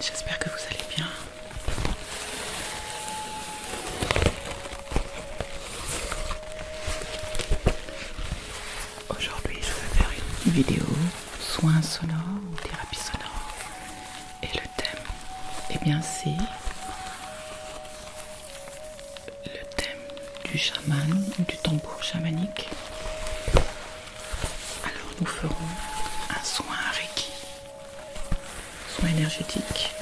j'espère que vous allez bien. Aujourd'hui, je vais faire une vidéo soins sonores ou thérapie sonore. Et le thème, et eh bien, c'est le thème du chaman ou du tambour chamanique. Alors, nous ferons un soin Reiki Soit énergétique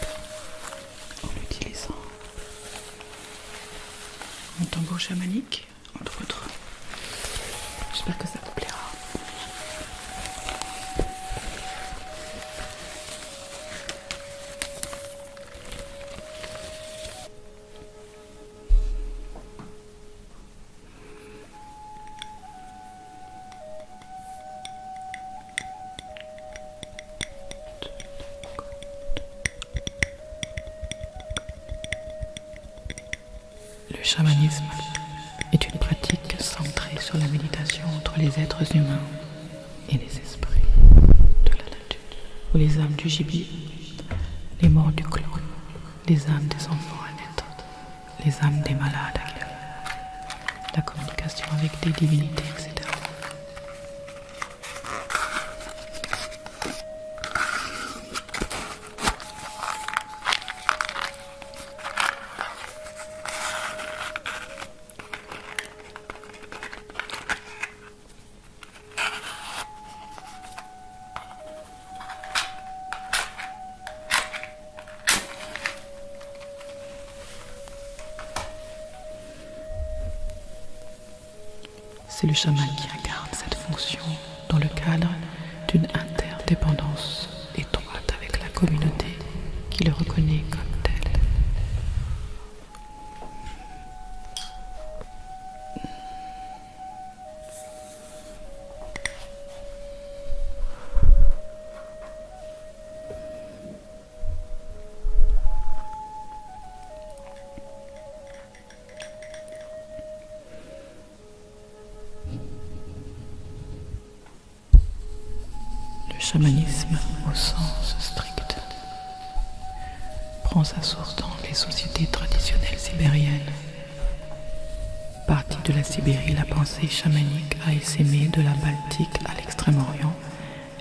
en utilisant mon tambour chamanique, entre autres. J'espère que ça vous plaira. Le chamanisme est une pratique centrée sur la méditation entre les êtres humains et les esprits de la nature, ou les âmes du gibier, les morts du clan, les âmes des enfants à les âmes des malades la communication avec des divinités, etc. C'est le chaman qui incarne cette fonction dans le cadre d'une interdépendance étroite avec la communauté qui le reconnaît comme tel. Le chamanisme au sens strict prend sa source dans les sociétés traditionnelles sibériennes Partie de la Sibérie, la pensée chamanique a essaimé de la Baltique à l'extrême-orient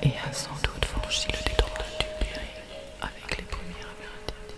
et a sans doute franchi le détroit du Bering avec les premières Amérindiens.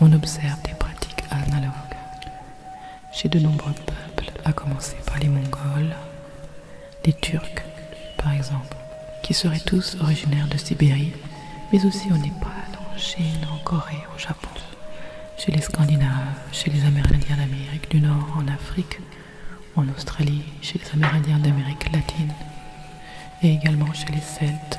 On observe des pratiques analogues chez de nombreux peuples, à commencer par les Mongols, les Turcs par exemple, qui seraient tous originaires de Sibérie, mais aussi au Népal, en Chine, en Corée, au Japon chez les Scandinaves, chez les Amérindiens d'Amérique du Nord, en Afrique, en Australie, chez les Amérindiens d'Amérique latine et également chez les Celtes.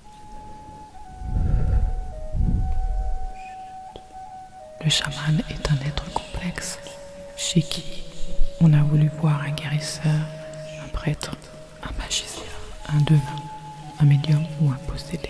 Le chaman est un être complexe chez qui on a voulu voir un guérisseur, un prêtre, un magicien, un devin, un médium ou un possédé.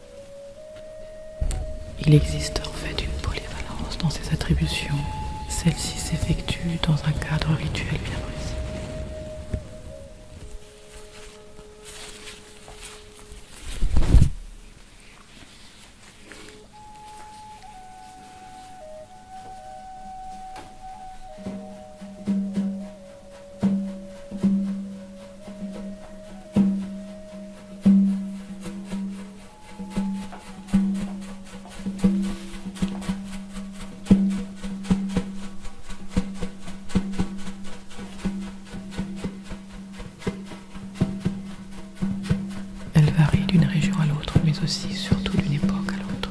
Il existe en fait une polyvalence dans ses attributions. Celle-ci s'effectue dans un cadre rituel bien précis. Elle varie d'une région à l'autre, mais aussi surtout d'une époque à l'autre.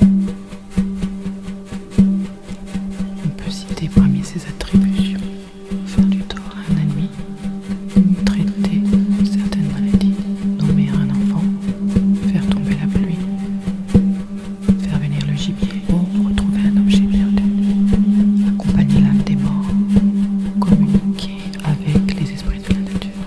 On peut citer parmi ses attributions faire du tort à un ennemi, traiter certaines maladies, nommer un enfant, faire tomber la pluie, faire venir le gibier ou retrouver un objet perdu, accompagner l'âme des morts, communiquer avec les esprits de la nature.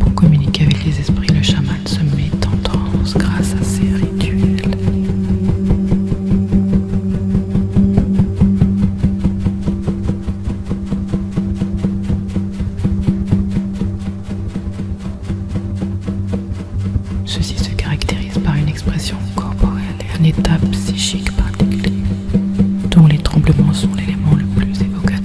Pour communiquer avec les esprits, le chaman se met en trance grâce à ses rituels. Ceci se caractérise par une expression corporelle et un état psychique particulier, dont les tremblements sont l'élément le plus évocateur.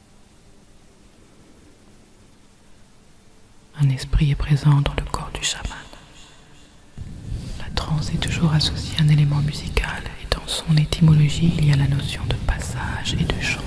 Un esprit est présent dans le corps du chaman. La transe est toujours associée à un élément musical et dans son étymologie il y a la notion de passage et de changement.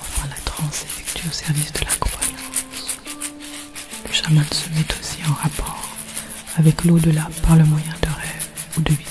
Enfin, la transe effectuée au service de la croyance. Le chaman se met aussi en rapport avec l'au-delà par le moyen de rêves ou de visions.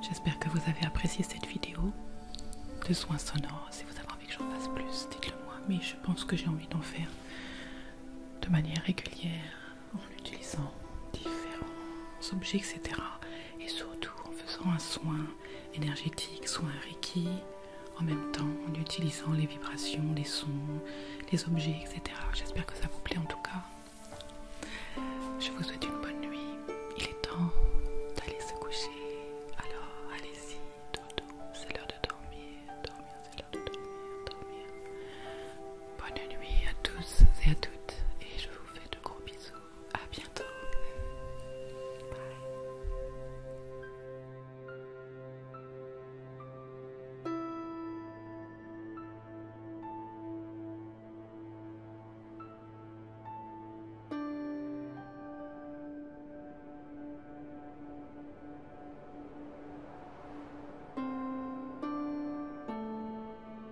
J'espère que vous avez apprécié cette vidéo de soins sonores. Si vous avez envie que j'en fasse plus, dites-le moi. Mais je pense que j'ai envie d'en faire de manière régulière en utilisant différents objets, etc et surtout en faisant un soin énergétique, soin Reiki, en même temps en utilisant les vibrations, les sons, les objets, etc. J'espère que ça vous plaît en tout cas. Je vous souhaite une bonne nuit. Il est temps d'aller se coucher. Alors allez-y, dodo. C'est l'heure de dormir. Dormir, c'est l'heure de dormir. Dormir. Bonne nuit à tous et à toutes. Et je vous fais de gros bisous à bientôt.